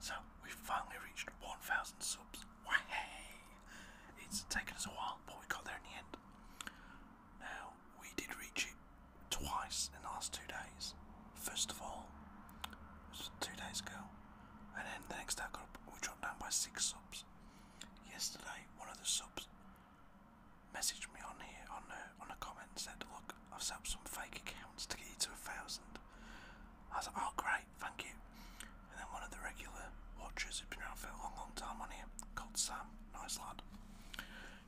So we finally reached 1,000 subs. Way! It's taken us a while, but we got there in the end. Now we did reach it twice in the last two days. First of all, it was two days ago, and then the next day we dropped down by six subs. Yesterday, one of the subs messaged me on here on a, uh, on a comment said, look, I've set up some fake accounts to get you to a thousand. I was oh great, thank you. And then one of the regular watchers who'd been around for a long, long time on here, called Sam, nice lad.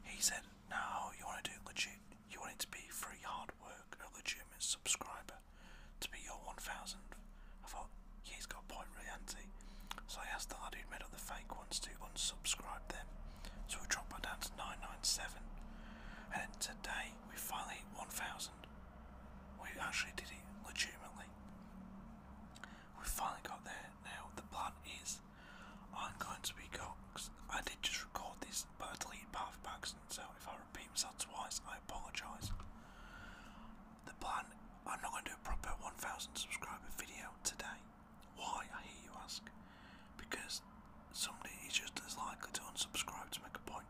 He said, no, you want to do legit. You want it to be free hard work, a legitimate subscriber, to be your 1000. I thought, he's got a point really, has so I asked the lad who'd made up the fake ones to unsubscribe them. So we dropped that down to 997. And today we finally hit 1000. We actually did it legitimately. We finally got there. Now the plan is I'm going to be I did just record this, but I deleted part of so if I repeat myself twice, I apologise. The plan I'm not going to do a proper 1000 subscriber video today. Why, I hear you ask? Because somebody is just as likely to unsubscribe to make a point.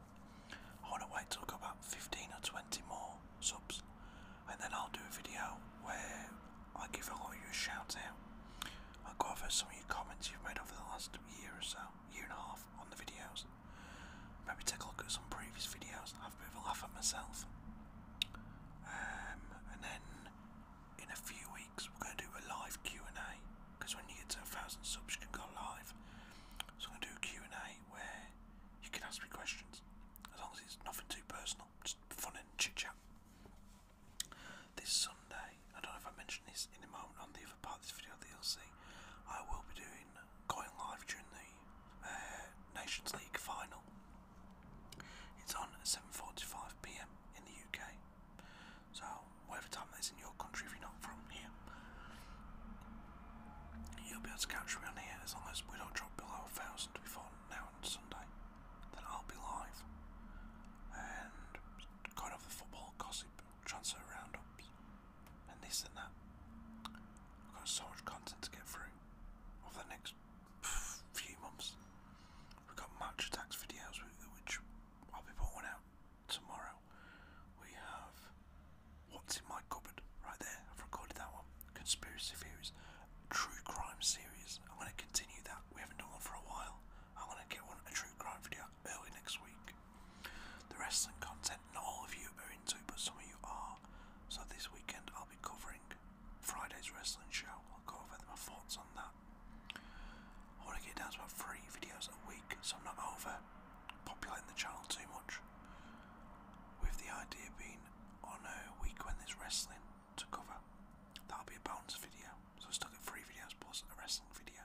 I want to wait till I've got about 15 or 20 more subs, and then I'll do a video where I give a lot of you a shout out. I'll go over some of your comments you've made over the last year or so, year and a half, on the videos. Maybe take a look at some previous videos have a bit of a laugh at myself. Um, and then in a few weeks we're going to do a live Q&A because when you get to a thousand subs you can go live. So I'm going to do a Q&A where you can ask me questions as long as it's nothing too personal, just fun and chit chat. This Sunday, I don't know if I mentioned this in a moment on the other part of this video that you'll see, I will be doing going live during the uh, Nations League final. It's on at 7:45 p.m. in the UK. So whatever time that is in your country, if you're not from here, you'll be able to catch me on here as long as we don't drop below a thousand before now on Sunday. Then I'll be live and kind of the football gossip, transfer roundups, and this and that. I've got so much content to get through over the next few months. We've got match attacks videos, which I'll be putting out tomorrow. We have What's in My Cupboard, right there. I've recorded that one. Conspiracy Theories, True Crime Series. I'm going to continue that. We haven't done one for a while. I'm going to get one, a True Crime video early next week. The wrestling content, not all of you are into, but some of you are. So this weekend I'll I'll be covering Friday's wrestling show. I'll go my thoughts on that. I want to get down to about three videos a week so I'm not over populating the channel too much. With the idea being on a week when there's wrestling to cover, that'll be a bonus video. So I still get three videos plus a wrestling video.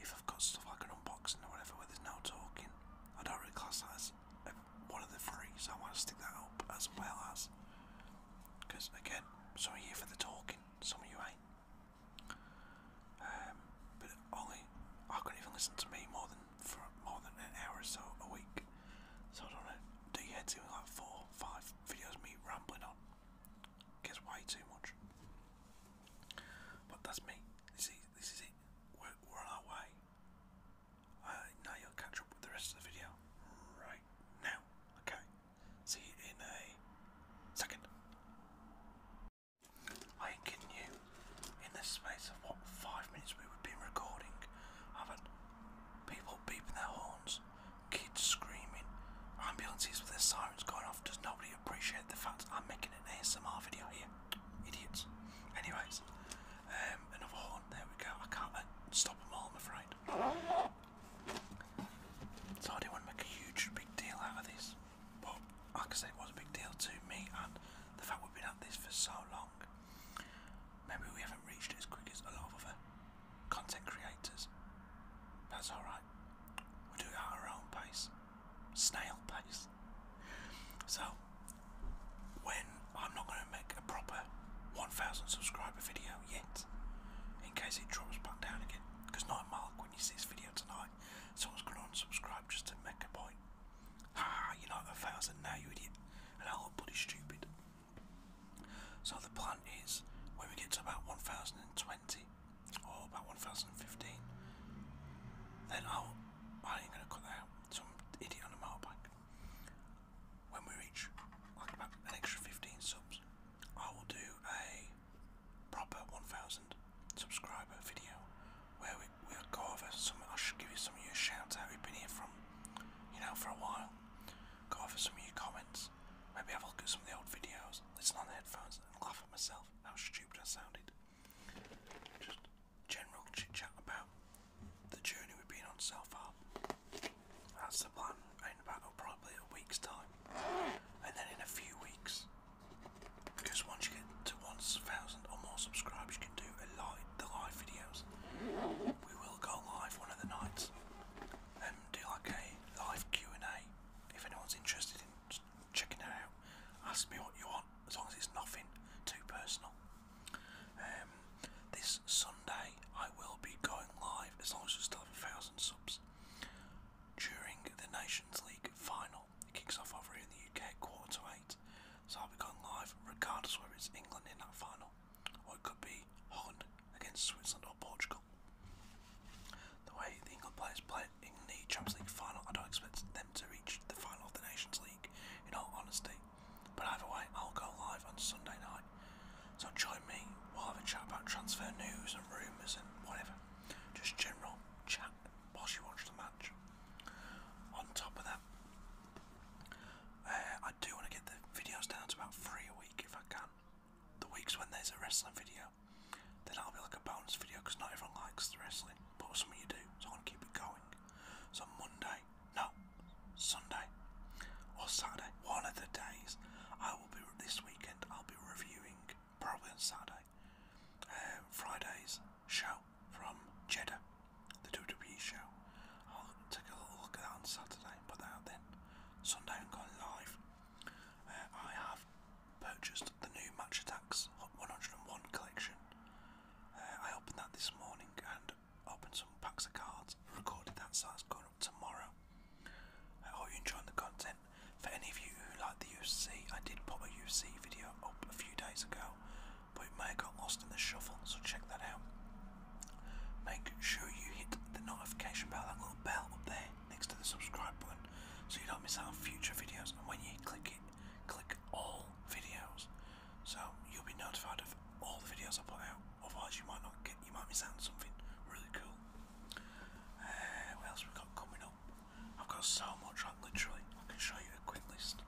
If I've got stuff like an unboxing or whatever where there's no talking, I don't really class that as one of the three, so I want to stick that up as well as. Because again, some of you for the talking, some of you ain't. Um, but only I couldn't even listen to me more than for more than an hour or so a week. So I don't know. Do you head to like four, five videos me rambling on? Gets way too much. But that's me. This is this is it. We're, we uh, now you'll catch up with the rest of the video right now. Okay, see you in a second. I ain't kidding you. In the space of what five minutes we would be recording, have had people beeping their horns, kids screaming, ambulances with their sirens going off. Does nobody appreciate the fact I'm making an ASMR video here? Idiots. Anyways, um, another horn. There we go. I can't uh, stop them all, I'm afraid. So I didn't make a huge, big deal out of this, but like I said, it was a big deal to me, and the fact we've been at this for so long, maybe we haven't reached as quick as a lot of other content creators. That's alright. We'll do it at our own pace snail pace. So, when I'm not going to make a proper 1,000 subscriber video yet, in case it drops back down again, because not a mark when you see this video tonight, someone's going to unsubscribe just to make a point. Ah, you're not a thousand now, you idiot, and I'll look bloody stupid. So the plan is, when we get to about 1,020, or oh, about 1015. Then I'll, oh, I ain't gonna cut out. Some idiot on a motorbike. When we reach like an extra 15 subs, I will do a proper 1000 subscriber video where we, we go over some, I should give you some of your shouts out you have been here from, you know, for a while. Go over some of your comments, maybe I will look at some of the old videos, listen on the headphones and laugh at myself, how stupid I sounded. Just general chit chat about the journey we've been on so far. That's the plan in about probably a week's time. And then in a few weeks. Because once you get to 1,000 or more subscribers, you can do a live, the live videos. We will go live one of the nights and do like a live Q&A if anyone's interested in just checking it out. Ask me what you want, as long as it's nothing too personal. Um, this Sunday I will be going live, as long as we still have a thousand subs, during the Nations League final. It kicks off over here in the UK, quarter to eight. So I'll be going live, regardless whether it's England in that final, or it could be Holland against Switzerland or Portugal. The way the England players play in the Champions League final, I don't expect them to reach the final of the Nations League, in all honesty. But either way, I'll go live on Sunday night. So join me, we'll have a chat about transfer news and rumours and whatever. Just general chat whilst you watch the match. On top of that, uh, I do want to get the videos down to about three a week if I can. The weeks when there's a wrestling video, video, then that'll be like a bonus video because not everyone likes the wrestling, but some of you do, so I want to keep it going. So Monday, no, Sunday or Saturday, one of the days, I will be this weekend. I'll be reviewing probably on Saturday, um, Friday's show from Jeddah, the WWE show. I'll take a little look at that on Saturday, put that out then. Sunday I'm going live I have purchased the new Match Attacks 101 collection. Uh, I opened that this morning and opened some packs of cards, recorded that, so that's going up tomorrow. I hope you're enjoying the content. For any of you who like the UFC, I did pop a UFC video up a few days ago, but it may have got lost in the shuffle, so check that out. Make sure you hit the notification bell, that little bell up there, next to the subscribe button so you don't miss out on future videos. And when you click it, click all videos so you'll be notified of all the videos I put out. Otherwise, you might not get, you might miss out on something really cool. Uh, what else we've got coming up? I've got so much on, literally. I can show you a quick list.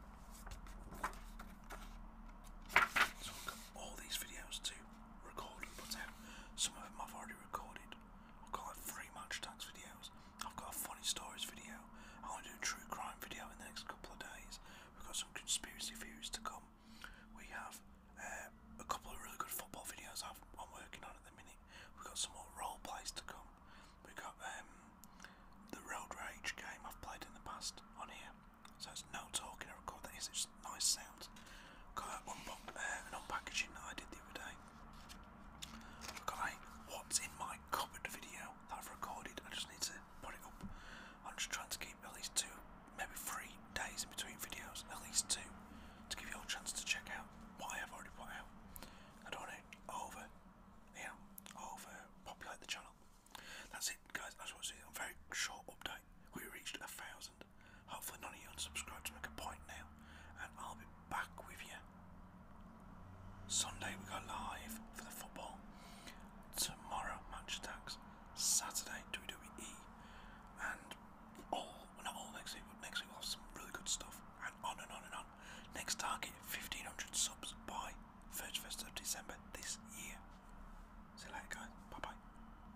So I've got all these videos to record and put out. Some of them I've already recorded, I'll call it match tax videos. I've got a funny stories video. I want to do a true crime video in the next couple of days. We've got some conspiracy theories to come. We have uh, a couple of really good football videos I've, I'm working on at the minute. We've got some more role plays to come. We've got um, the Road Rage game I've played in the past on here. So it's no talking, I record that nice, nice sound. Got that one uh, I did the other day. got a what's in my cupboard video that I've recorded. I just need to put it up. I'm just trying to keep at least two, maybe three days in between videos, at least two, to give you all a chance to check out what I have already put out. I don't want over, you over populate the channel. That's it, guys. I just want very short update. We reached a thousand. Hopefully none of you unsubscribe to make a point now, and I'll be back with you. Sunday we go live for the football. Tomorrow match attacks. Saturday WWE, and all well not all next week, but next week we'll have some really good stuff, and on and on and on. Next target, fifteen hundred subs by first of December this year. See you later, guys. Bye bye.